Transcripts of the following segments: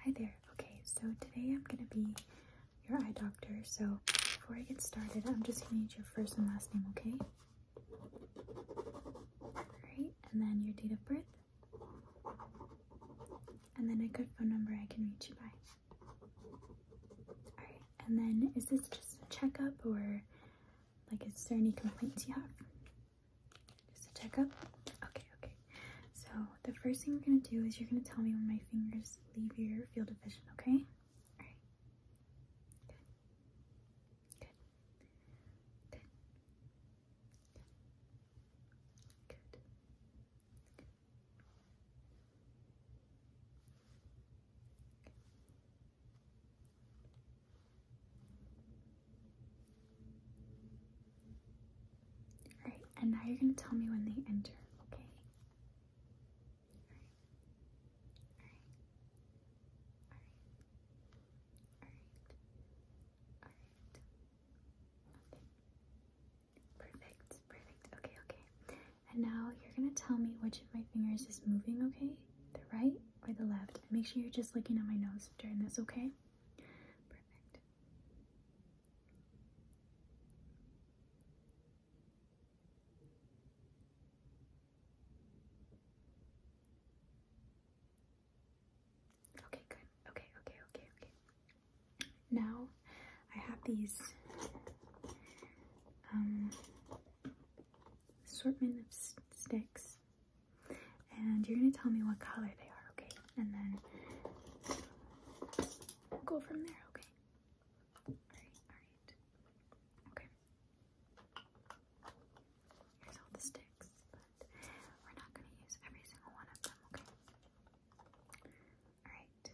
Hi there. Okay, so today I'm going to be your eye doctor. So before I get started, I'm just going to need your first and last name, okay? Alright, and then your date of birth. And then a good phone number I can reach you by. Alright, and then is this just a checkup or like is there any complaints you have? Just a checkup? Okay, okay. So the first thing you're gonna do is you're gonna tell me when my fingers leave your field of vision, okay? Alright. Good. Good. Good. Good. Good. All right, and now you're going to tell me when they enter, okay? Perfect. Perfect. Okay, okay. And now you're going to tell me which of my fingers is moving, okay? The right or the left? make sure you're just looking at my nose during this, okay? Okay, good. Okay, okay, okay, okay. Now I have these um, assortment of sticks and you're gonna tell me what color they are, okay? And then go from there, okay? all right. Okay. Here's all the sticks, but we're not gonna use every single one of them, okay? All right.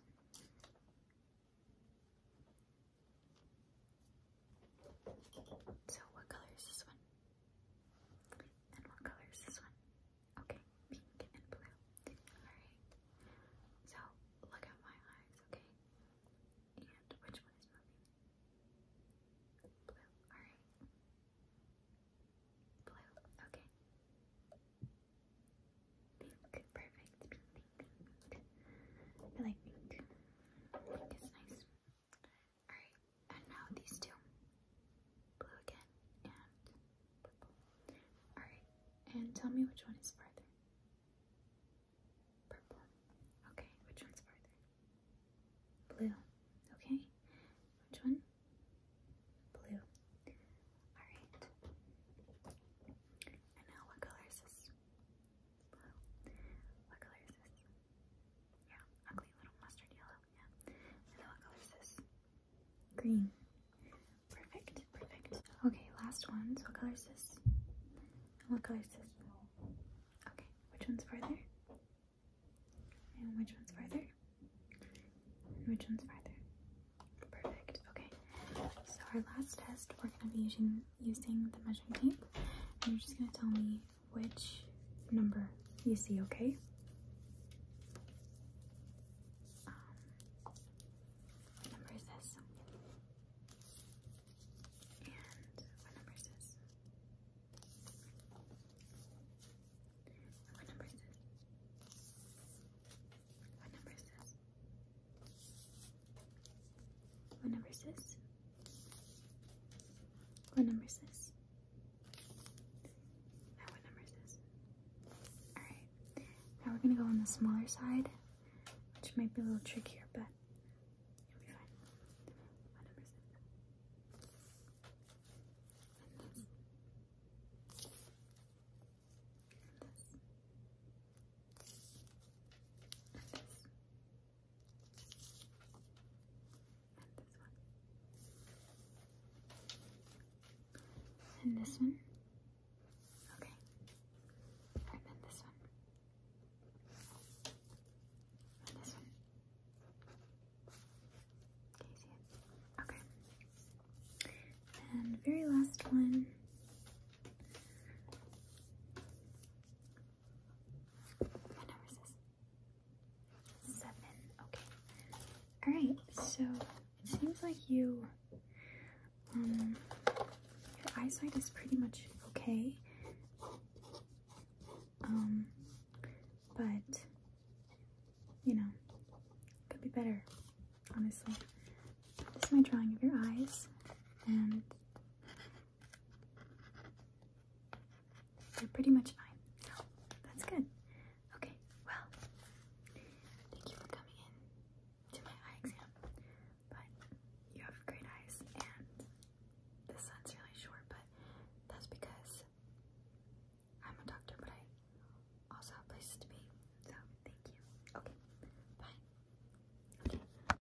So, what color is this one? And what color is this one? Okay, pink and blue. Alright. So look at my eyes, okay? And which one is moving? Blue. Alright. Blue. Okay. Pink. Perfect. Pink, I like pink. Pink is nice. Alright, and now these two. Blue again and purple. Alright, and tell me which one is farther. Purple. Okay, which one's farther? Blue. Okay, which one? Blue. Alright. And now what color is this? Blue. What color is this? Yeah, ugly little mustard yellow. Yeah. what color is this? Green. Perfect, perfect. Okay, last one. So what color is this? what color is this? Okay, which one's farther? And which one's farther? which one's farther? Perfect. Okay. So our last test, we're gonna be using using the measuring tape. And you're just gonna tell me which number you see, okay? Um, what number is this? And what number is this? what number is this? What number is this? What number is this? What number is this? Now what number is this? Alright. Now we're gonna go on the smaller side, which might be a little trickier, but it'll be fine. And this one. Okay. And then this one. And this one. Okay. And very last one. What number is Seven. Okay. All right. So it seems like you, um, your eyesight is pretty much okay. Um, but you know, could be better. Honestly, this is my drawing of your eyes, and they are pretty much fine. that's good. Okay, well, thank you for coming in to my eye exam. But you have great eyes, and the sun's really short, but that's because I'm a doctor, but I also have places to be. So, thank you. Okay, bye.